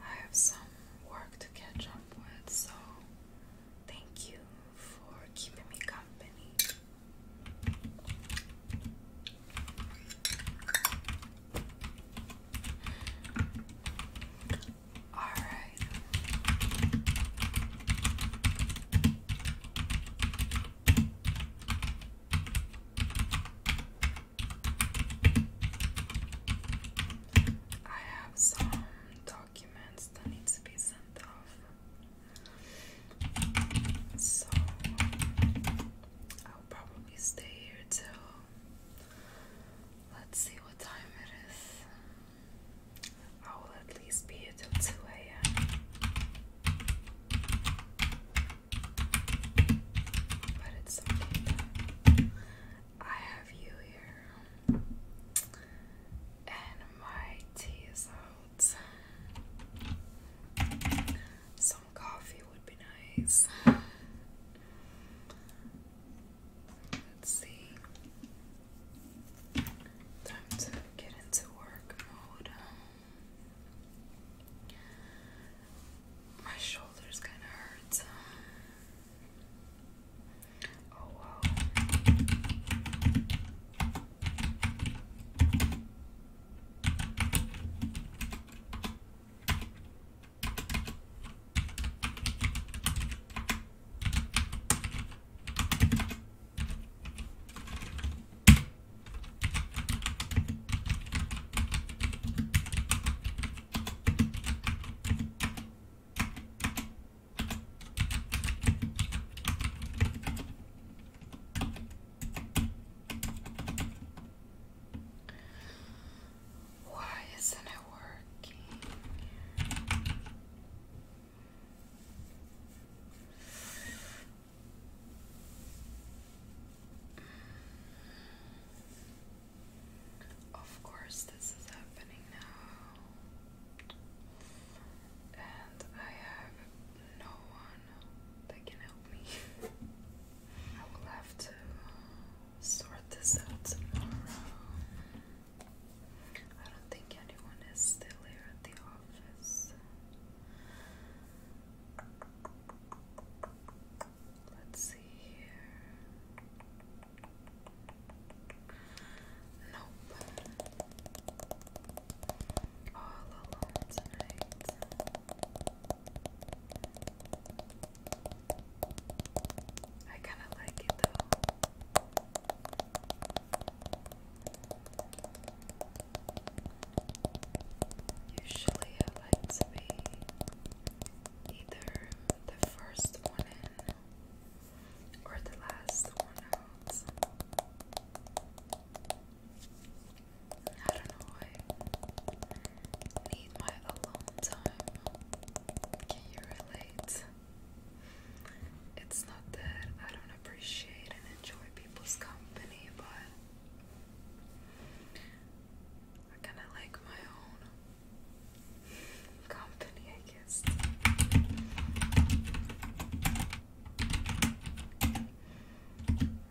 I have some work to catch up with, so thank you for keeping me company. All right. I have some documents that need to be sent off. So I'll probably stay here till let's see what time it is. I will at least be here till 2 a.m. But it's okay. I have you here. And my tea is out. Some coffee would be nice. Let's see. Time to get into work mode. My shoulders kind of hurt. Oh wow. Why isn't it working? Of course, this is happening now, and I have no one that can help me. I will have to sort this out tomorrow. I don't think anyone is still here at the office. Let's see here. Nope. All alone tonight. I kind of like it though. Usually I like to either the first one in or the last one out. I don't know, I need my alone time. Can you relate? It's not that I don't appreciate and enjoy people's company, but I kind of like my own.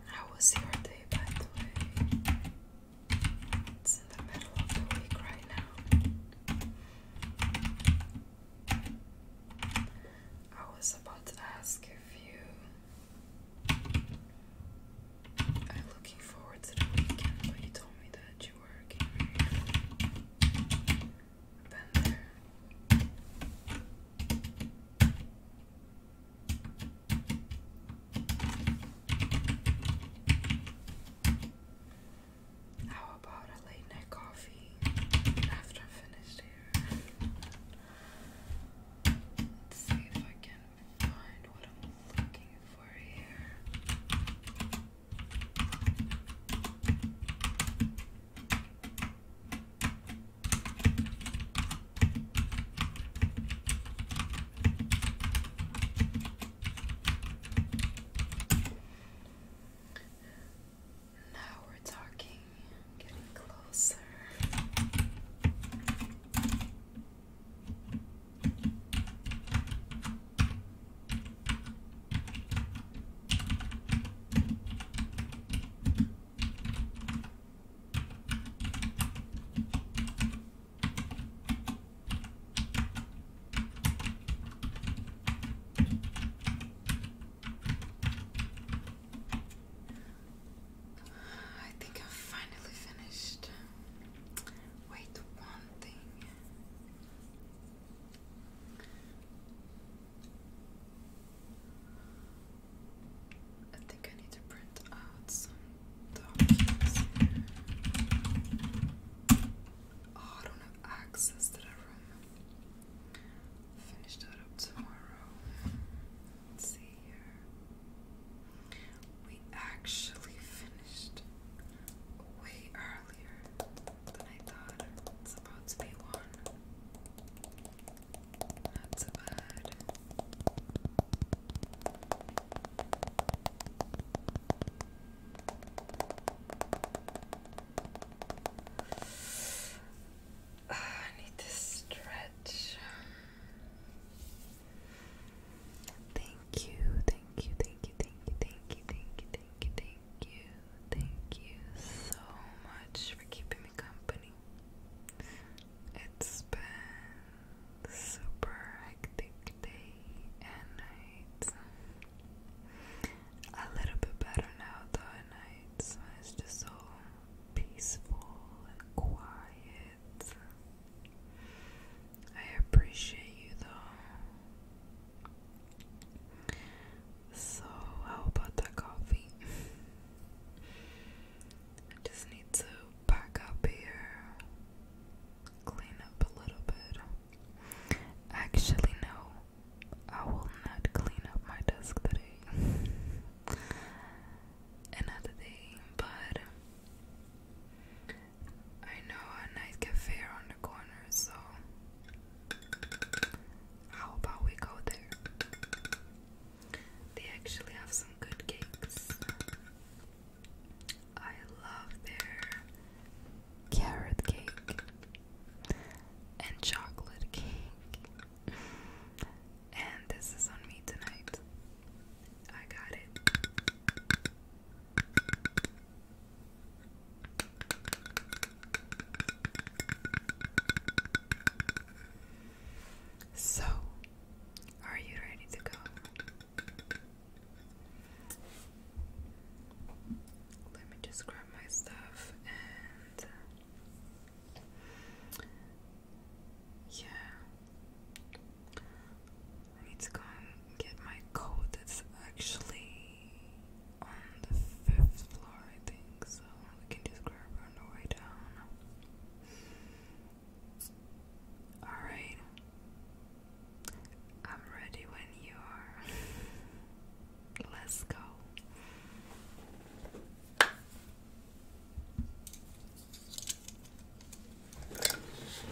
How was your day, by the way? It's the middle of the week right now. I was about to ask if you I am looking forward to the weekend, but you told me that you were getting there. How about a late night coffee after I'm here? Let's see if I can find what I'm looking for here. Now we're talking, getting closer. I think I'm finally finished. Wait, one thing. I think I need to print out some documents. Oh, I don't have access to that room. Finish that up tomorrow. Let's see here. We actually finished way earlier than I thought. It's about to be one. Not so bad. I need to stretch. Thank you, thank you, thank you, thank you, thank you, thank you, thank you, thank you, thank you so much for keeping me company. It's been super hectic day and night. A little bit better now though at night. it's just so peaceful and quiet I appreciate you though. So, how about that coffee? I just need to pack up here, clean up a little bit. Actually, no, I will not clean up my desk today. Another day, but I know a nice cafe on the corner, so how about we go there? They actually have some good cakes. I love their carrot cake and chocolate cake. And this is on me tonight. I got it. So, are you ready to go? Let me just grab my stuff and. Yeah, need to go and get my coat. It's actually on the fifth floor, I think, so we can just grab on the way down. Alright. I'm ready when you are. Let's go.